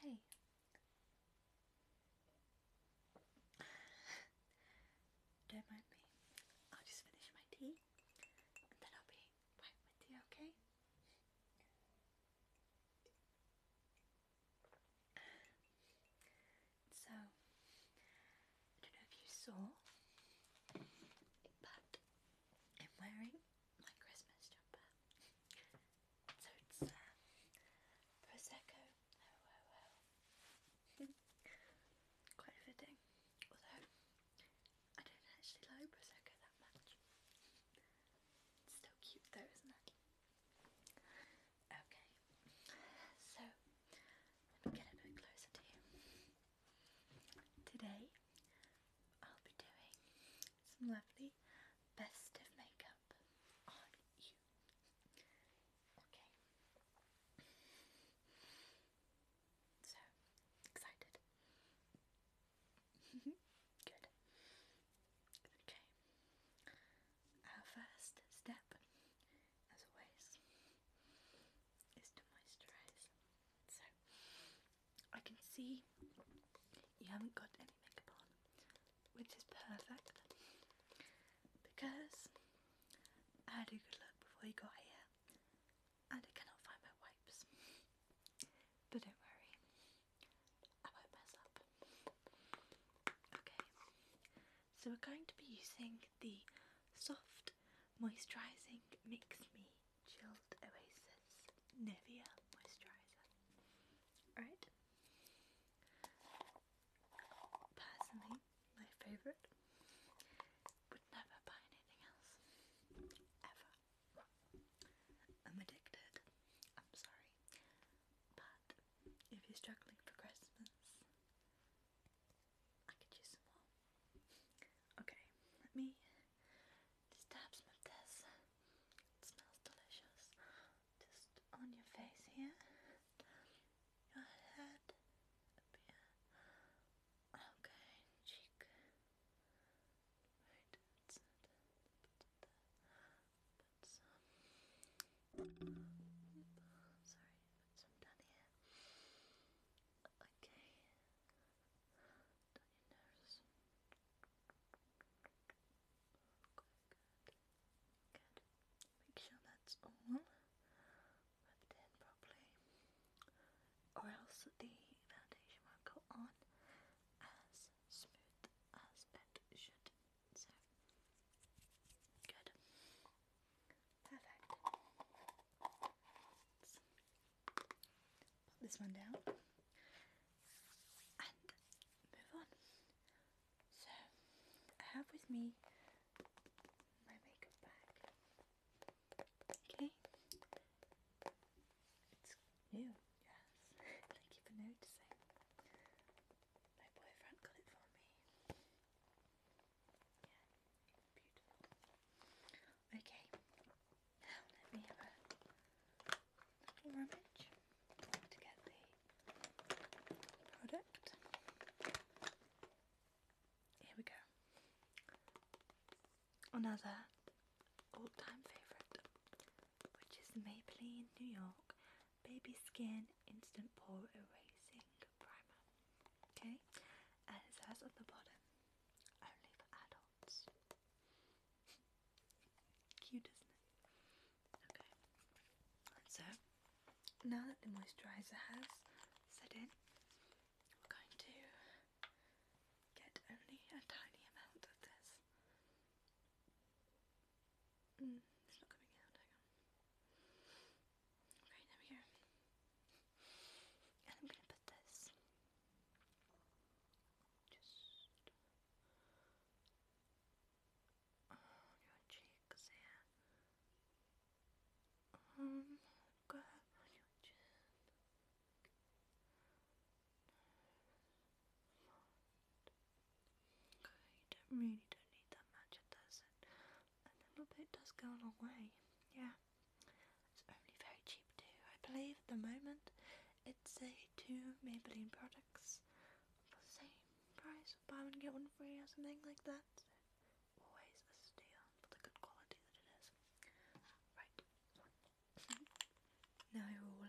Hey. Don't mind me. I'll just finish my tea and then I'll be right with you, okay? So, I don't know if you saw, but I'm wearing my Christmas jumper. so it's uh, Prosecco. Oh, oh, oh. Quite fitting. Although, I don't actually like Prosecco that much. It's still cute though, isn't it? Okay, so let me get a bit closer to you. Today I'll be doing some lovely festive makeup on you. Okay. So, excited. Good. Okay. Our first step, as always, is to moisturize. So, I can see you haven't got any makeup on, which is perfect because I had a good look before you got here and I cannot find my wipes. But don't worry, I won't mess up. Okay, so we're going to be using the soft moisturising Mix Me Chilled Oasis Nivea Moisturizer. Alright. Personally, my favourite. Would never buy anything else. Ever. I'm addicted. I'm sorry. But if you're struggling for Christmas, I could use some more. Okay, let me this tabs my test. It smells delicious. Just on your face here, your head, Okay, cheek. Right, that's some. Sorry, put some down here. Okay, down your Make sure that's all rubbed in properly, or else the foundation won't go on as smooth as it should. So, good, perfect. Put this one down and move on. So I have with me my makeup bag. Okay. It's new, yes. Thank you for noticing. My boyfriend got it for me. Okay, now let me have a little rummage to get the product. Here we go. Another all-time favourite, which is Maybelline New York Baby Skin Instant Pore Erasing Primer. Okay, and it says on the bottom only for adults. Cute, isn't it? Okay. so, now that the moisturiser has set in, we're going to get only a tiny amount of this. Mm, it's not coming out, hang on right over here. And I'm gonna put this just uh, on your cheeks here. Um, go on Okay, you don't really don't need that much, it doesn't. A little bit does go a long way, yeah. It's only very cheap too. I believe at the moment it's a two Maybelline products for the same price. Buy one get one free or something like that. always a steal for the good quality that it is. Right. now you're all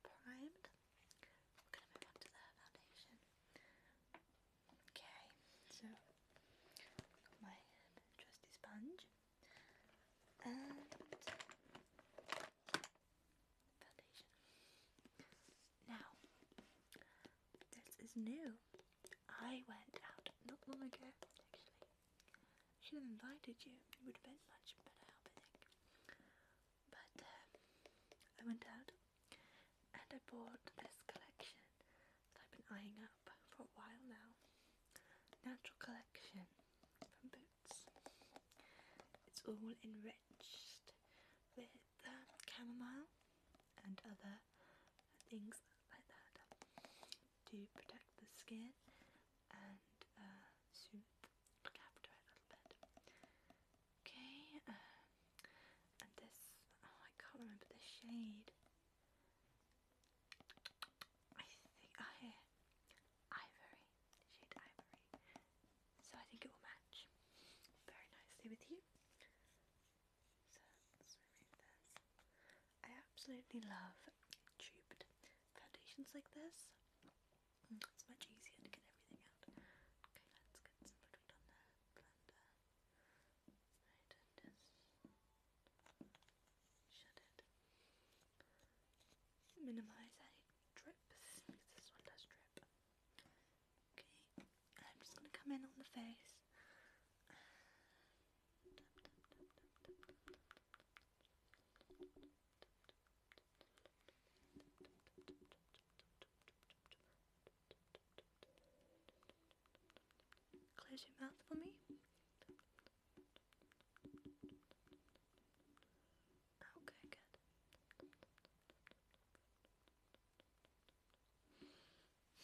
primed. We're on to the foundation. Okay, so my trusty sponge and foundation. Now, this is new. I went out not long ago, actually. Should have invited you. It would have been much better I think. But um, I went out and I bought this collection that I've been eyeing up for a while now. Natural collection from Boots. It's all enriched with um, chamomile and other things like that to protect the skin and uh, soothe, look after it a little bit. Okay, um, and this, oh, I can't remember the shade. I think oh ivory, shade ivory. So I think it will match very nicely with you. I absolutely love tubed foundations like this. Mm, it's much easier to get everything out. Okay, let's get some product on there. Right, and Minimize any drips this one does drip. Okay, I'm just gonna come in on the face. Close your mouth for me. Okay, oh, good.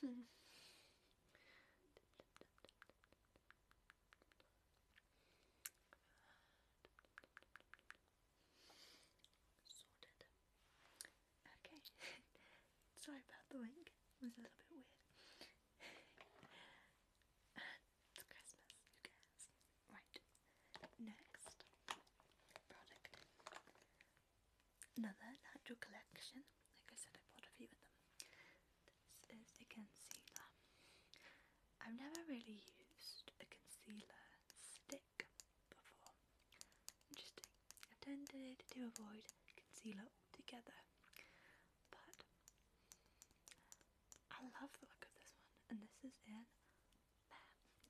Hmm. Sorted. Okay. Sorry about the link. was a little bit weird. it's Christmas, who cares? Right. Next product. Another natural collection. Like I said, I bought a few of them. This is a concealer. I've never really used a concealer stick before. i I've tended to avoid concealer altogether, but I love the look of this one, and this is in there.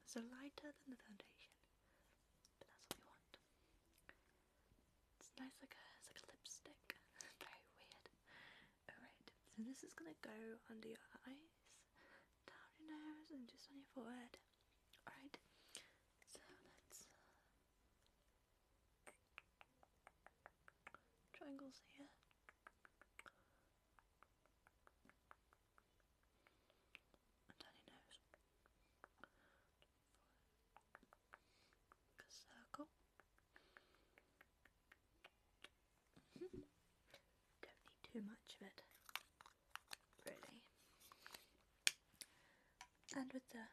So lighter than the foundation, but that's what we want. It's nice, like it's like a lipstick. Very weird. Alright, so this is gonna go under your eyes, down your nose, and just on your forehead. Alright, so let uh, triangles here. tiny nose. circle. Don't need too much of it really. And with the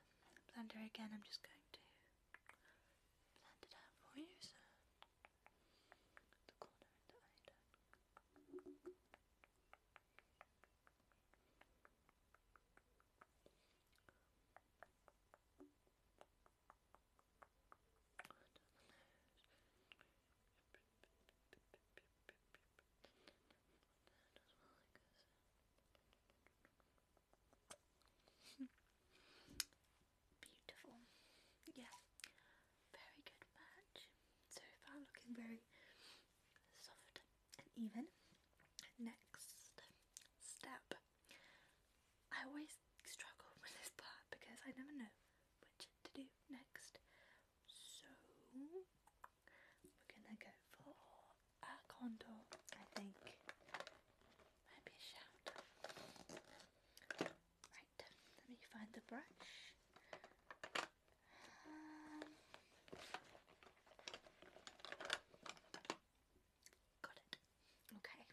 blender again, I'm just going to blend it out for you. So Beautiful. Yeah. Very good match. So far looking very soft and even. Next step. I always struggle with this part because I never know which to do next. So we're gonna go for a contour, I think. Maybe a shout. Right, let me find the brush. Um, got it. Okay.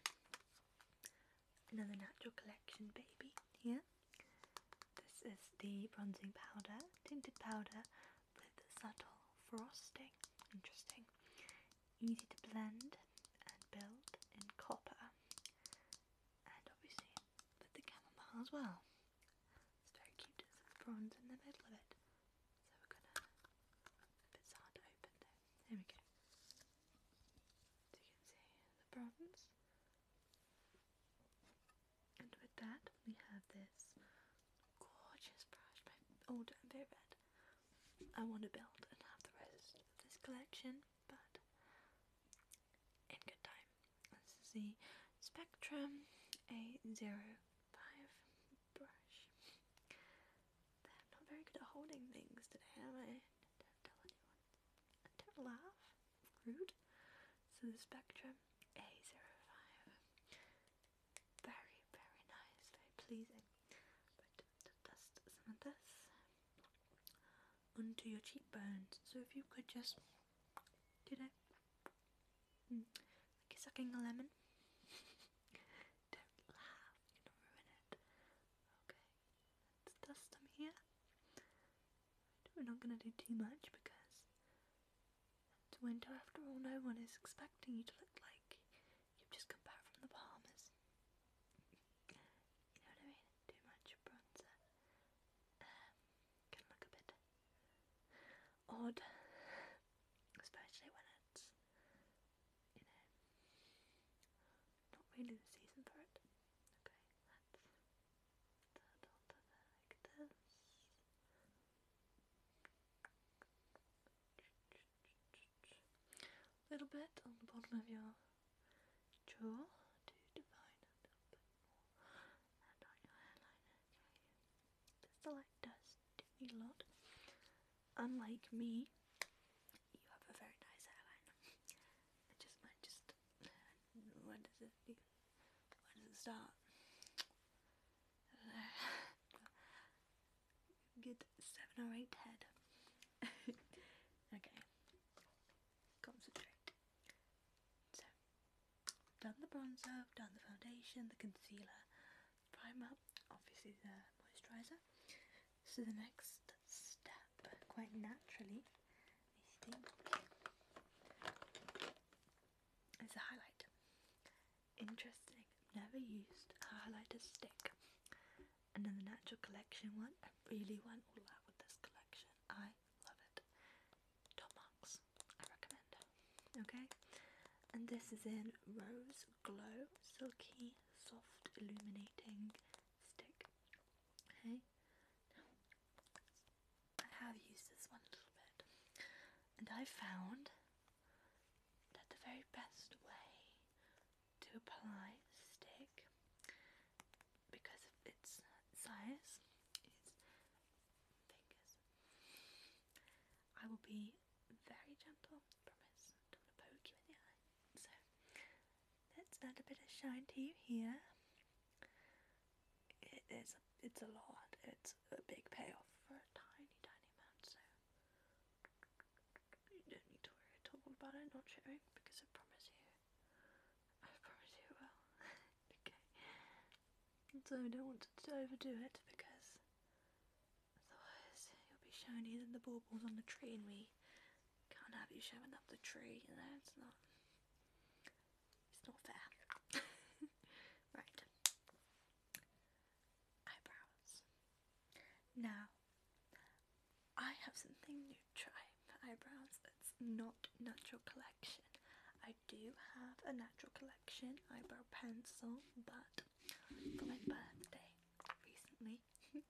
Another natural collection baby here. This is the bronzing powder, tinted powder with subtle frosting. Interesting. Easy to blend and build in copper. And obviously with the chamomile as well. It's very cute. There's bronze in the middle of it. So we're gonna it's hard to open though. we go. you can see the bronze. And with that, we have this gorgeous brush, my old and favorite. I want to build and have the rest of this collection, but in good time. This is the Spectrum a Zero Five brush. I'm not very good at holding things today, am I? Don't tell anyone. Don't laugh root. So the spectrum a zero five, Very, very nice, very pleasing. But dust some of this onto your cheekbones. So if you could just do it mm, Like you're sucking a lemon. Don't laugh, you don't ruin it. Okay, let's dust them here. We're not going to do too much because it's winter after all. No one is expecting you to look like you've just come back from the Bahamas. you know what I mean? Too much bronzer. Um, can look a bit odd, especially when it's, you know, not really the season for it. Okay, that's a little bit on the bottom of your jaw to define it a and on your hairline. Okay, this light does do me a lot. Unlike me, you have a very nice hairline. I just, I just, what is it? Where does it start? Good seven or eight head. okay, concentrate. So, done the bronzer, done the foundation, the concealer, the primer, obviously the moisturizer. So the next step, quite naturally, it's a highlight. Interesting. Never used a highlighter stick. And then the natural collection one, I really went all out with this collection. I love it. Top marks. I recommend. Okay. And this is in Rose Glow Silky Soft Illuminating Stick. Okay. I have used this one a little bit, and I found that the very best way to apply the stick, because of its size, is fingers. I will be very gentle, promise. Don't poke you in the eye. So Let's a bit of shine to you here. It is, it's a lot. It's a big payoff for a tiny, tiny amount, so you don't need to worry at all about it not showing because I promise you, I promise you will. okay. so I don't want to overdo it because otherwise you'll be shinier than the baubles on the tree and we can't have you showing up the tree, you know, it's not it's not fair. right. Eyebrows. Now, I have something new to try for eyebrows that's not natural collection. I do have a natural collection eyebrow pencil, but for my birthday recently,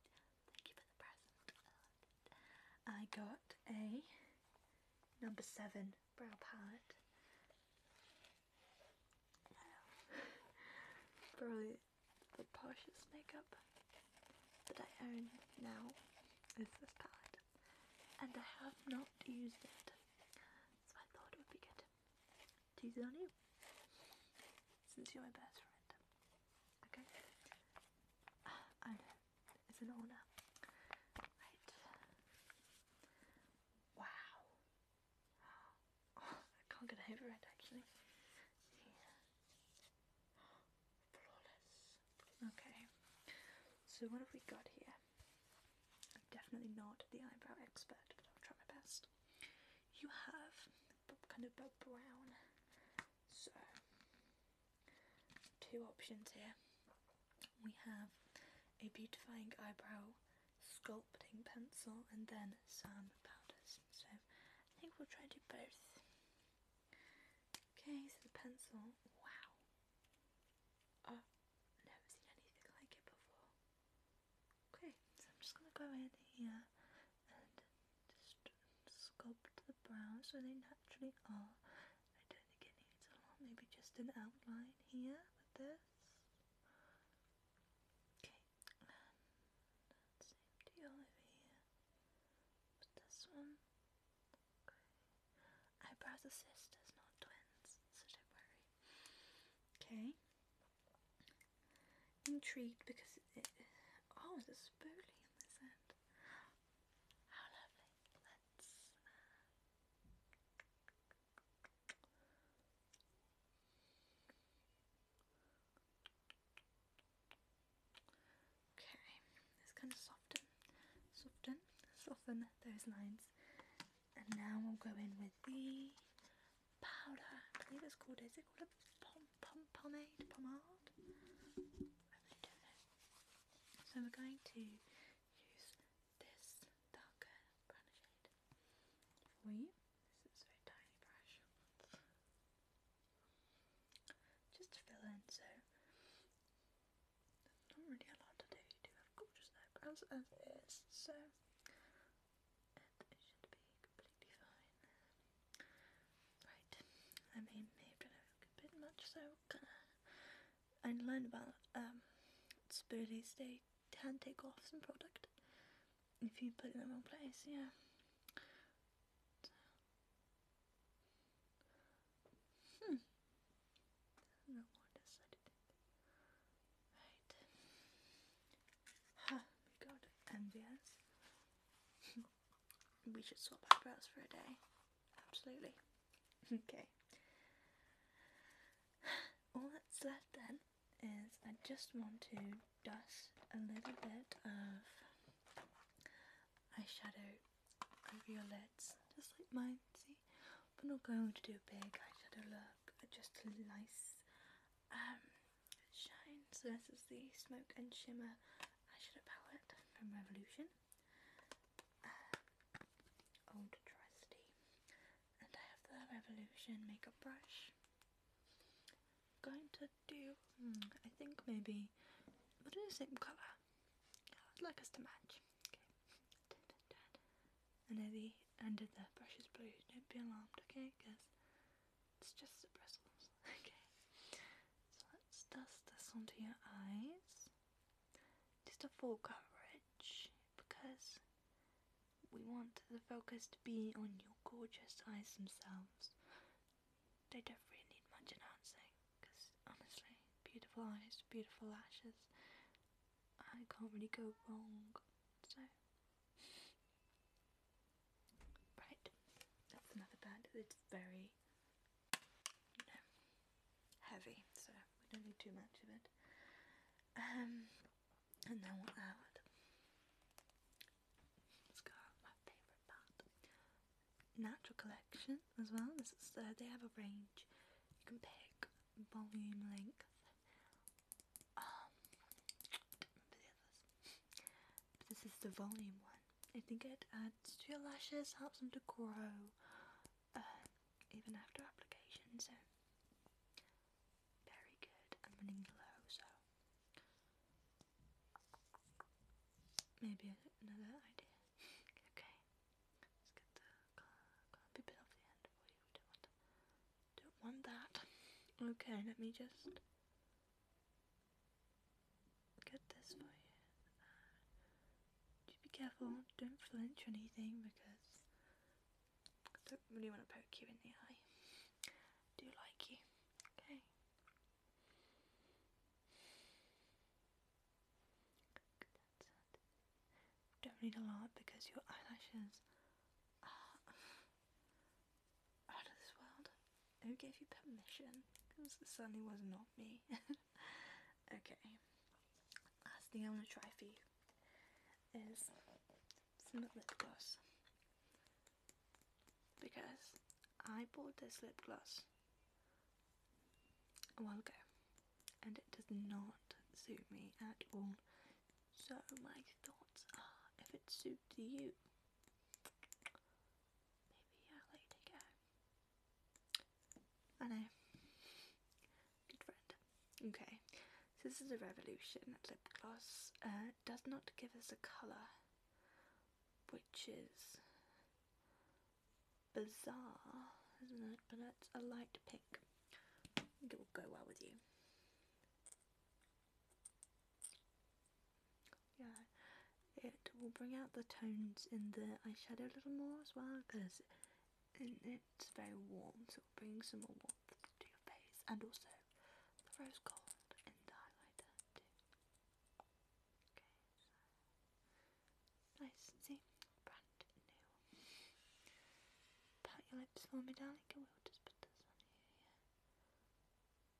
thank you for the present, I got a number seven brow palette. Probably the poshest makeup that I own now is this palette, and I have not used it, so I thought it would be good to use on you since you're my best friend. Okay? as an owner. Wow. Oh, I can't get over it actually. Flawless. Okay. So what have we got here? I'm definitely not the eyebrow expert, but I'll try my best. You have kind of a brown. So two options here. We have a beautifying eyebrow sculpting pencil and then some powders. So I think we'll try and do both. Okay, so the pencil, wow. I've oh, never seen anything like it before. Okay, so I'm just going to go in here and just sculpt the brows so they naturally are. I don't think it needs a lot, maybe just an outline here with this. Okay, and that same deal over this one. Eyebrows are sisters, not twins, so don't worry. Okay. Intrigued because Oh, there's a spoolie this end. How lovely. Let's. Uh... Okay, just kind of soften, soften, soften those lines. And now we'll go in with the powder. I believe it's called, is it called a pom pom pomade, pomade. So we're going to use this darker brown shade for This is a very tiny brush. Just to fill in, so not really a to do. You do have gorgeous eyebrows as it is, so it should be completely fine. Right, I mean, maybe a bit much, so kinda. I learned about um, Spirities, they can take off some product if you put it in the wrong place, yeah. Hmm. Right. we got envious. We should swap eyebrows for a day. Absolutely. Okay. All that's left then is I just want to dust a little bit of eyeshadow over your lids, just like mine, see? But not going to do a big eyeshadow look, just a nice um, shine. So this is the Smoke and Shimmer I eyeshadow palette from Revolution, uh, Old Trusty, and I have the Revolution makeup brush. i going to do, hmm, I think maybe, we'll the same colour. I'd like us to match. Okay. Dun, dun, the end of the brush is blue, don't be alarmed, okay? Because it's just the bristles. okay let dust this onto your eyes. Just a full coverage because we want the focus to be on your gorgeous eyes themselves. They don't really need much enhancing because honestly, beautiful eyes, beautiful lashes, I can't really go wrong. So, Right, that's another band. It's very, you know, heavy, so we don't need too much of it. Um, and then what I would. Let's go on my favourite part. Natural Collection as well. This is uh, they have a range. You can pick volume length. Um, this is the volume one. I think it adds to your lashes, helps them to grow uh, even after application. So very good and running low. So maybe another idea. okay, let's get the copy bit off the end for you. don't want that. Okay, let me just get this for you. Uh, be careful, don't flinch or anything because I don't really want to poke you in the eye. I do like you, okay? Don't read a lot because your eyelashes are out of this world. Who gave you permission? Because it certainly was not me. okay. Last thing I'm gonna try for you is some lip gloss. Because I bought this lip gloss a while ago and it does not suit me at all. So my thoughts are if it suits you Maybe I'll let you take I know. Good friend. Okay, so this is a Revolution lip gloss. Uh, does not give us a colour, which is bizarre, isn't it? But it's a light pink. it will go well with you. Yeah, it will bring out the tones in the eyeshadow a little more as well because it's very warm, so it brings some more warmth to your face and also the rose gold in the highlighter too. Okay, so nice, see, brand new. Pat your lips for me, darling. I will just put this on you.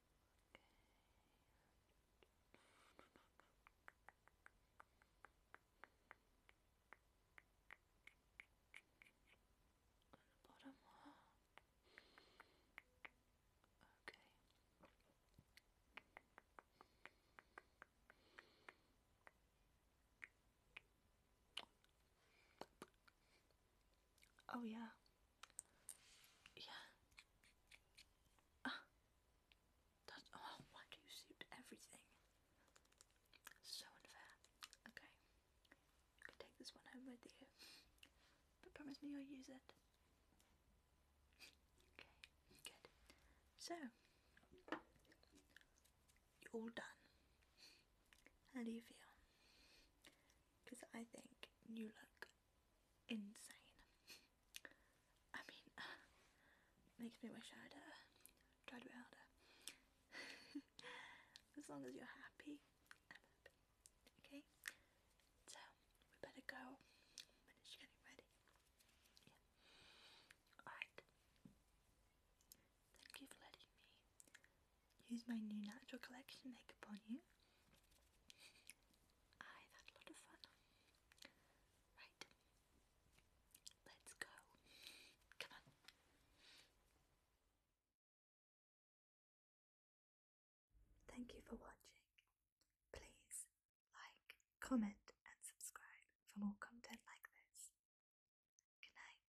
Okay. On the bottom one. Okay. Oh, yeah, yeah. Ah. That's, oh, why do you suit everything? So unfair. Okay. You can take this one home with you. But promise me you'll use it. okay, good. So, you're all done. How do you feel? because I think you look insane. I mean, makes me wish I'd uh, tried a bit harder. as long as you're happy, Okay? So, we better go. When is getting ready? Alright. Thank you for letting me Use my new natural collection makeup on you. i had a lot of fun. Right, let's go. Come on. Thank you for watching. Please like, comment, and subscribe for more content like this. Good night.